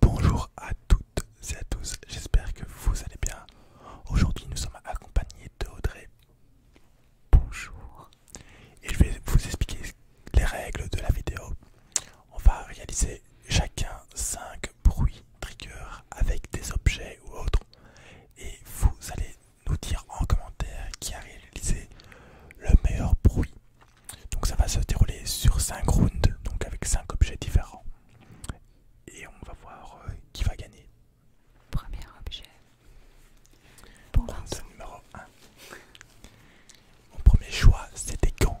Bonjour à toutes et à tous, j'espère que vous allez bien. Aujourd'hui nous sommes accompagnés de Audrey. Bonjour. Et je vais vous expliquer les règles de la vidéo. On va réaliser chacun 5 bruits triggers avec des objets ou autres. Et vous allez nous dire en commentaire qui a réalisé le meilleur bruit. Donc ça va se dérouler sur 5 rounds, donc avec 5 objets différents. Et on va voir euh, qui va gagner. Premier objet. Pour Round numéro 1. Mon premier choix, c'était Gant.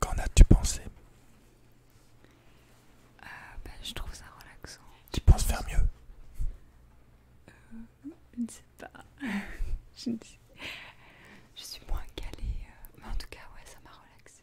Qu'en as-tu pensé Ah ben Je trouve ça relaxant. Tu penses faire mieux euh, je ne sais pas. je, je suis moins calée. Euh, mais en tout cas, ouais, ça m'a relaxée.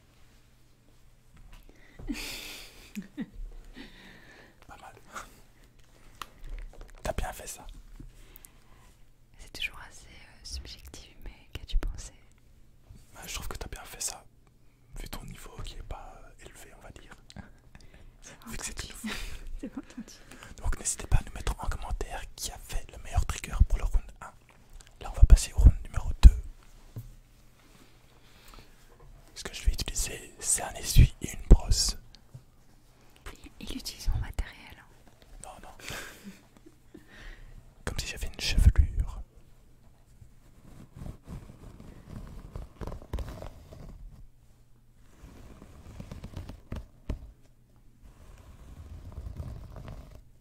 Pas mal. T'as bien fait ça. C'est toujours assez euh, subjectif, mais qu'as-tu pensé bah, Je trouve que t'as bien fait ça, vu ton niveau qui est pas euh, élevé, on va dire. Vu que c'est Donc n'hésitez pas à nous mettre en commentaire qui a fait le meilleur trigger pour le round 1. Là on va passer au round numéro 2. Ce que je vais utiliser, c'est un essuie et une brosse. Il utilise mon matériel. Hein. Non, non. Comme si j'avais une chevelure.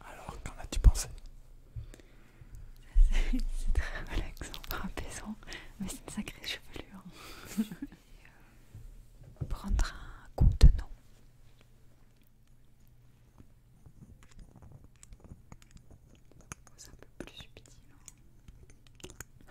Alors, qu'en as-tu pensé C'est très relaxant, apaisant, mais c'est une sacrée chevelure. Je un euh, prendre un contenant. C'est un peu plus subtil. Hein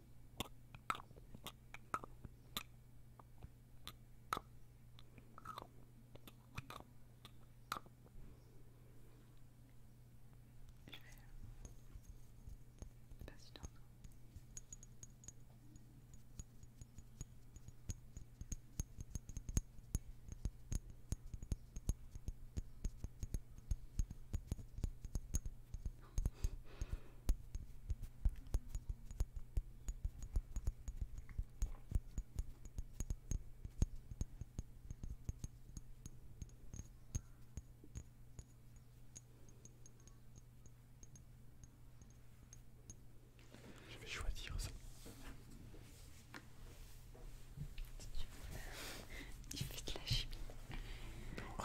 Je vais je vais choisir ça. Il fait de la chimie. Bon.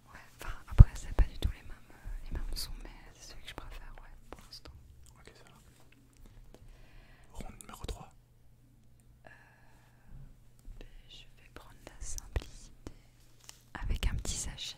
Ouais, enfin après c'est pas du tout euh, les mêmes, sons mais c'est celui que je préfère ouais pour l'instant. Ok ça va. Ronde numéro 3. Euh, ben, je vais prendre la simplicité avec un petit sachet.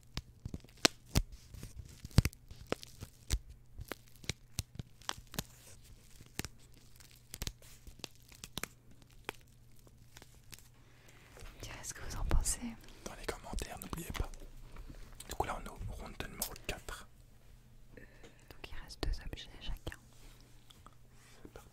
quest ce que vous en pensez dans les commentaires, n'oubliez pas. Du coup, là on est au round numéro 4. donc il reste deux objets chacun. C'est parti.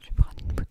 Je prends une bouteille.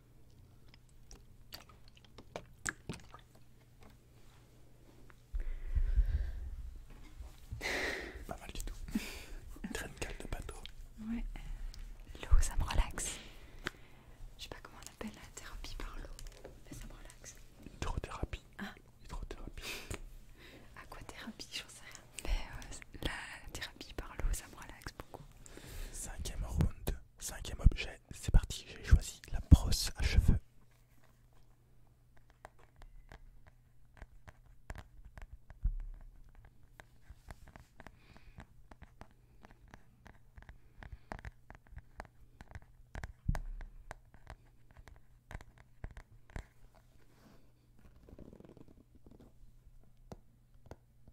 Pas mal du tout. Traîne calme de bateau. Ouais. L'eau, ça me relaxe. Je sais pas comment on appelle la thérapie par l'eau, mais ça me relaxe. Hydrothérapie. Ah. Hydrothérapie. je ne sais rien. Mais euh, la thérapie par l'eau, ça me relaxe beaucoup. Cinquième round. Cinquième objet, c'est parti, j'ai choisi la brosse à cheveux.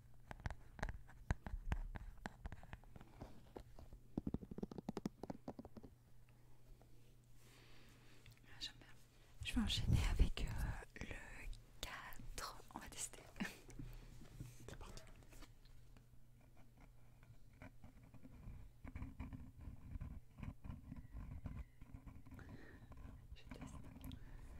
Ah, Je vais enchaîner avec euh, le 4. On va tester. C'est Je teste.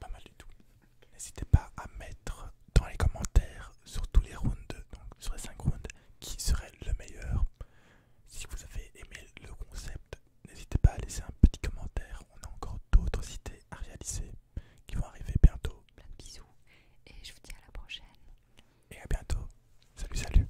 Pas mal du tout. N'hésitez pas à mettre dans les commentaires sur tous les rounds, donc sur les 5 rounds, qui serait le meilleur. Si vous avez aimé le concept, n'hésitez pas à laisser un petit commentaire. On a encore d'autres idées à réaliser qui vont arriver bientôt. Plein bisous et je vous dis à la prochaine. Et à bientôt. salut. salut.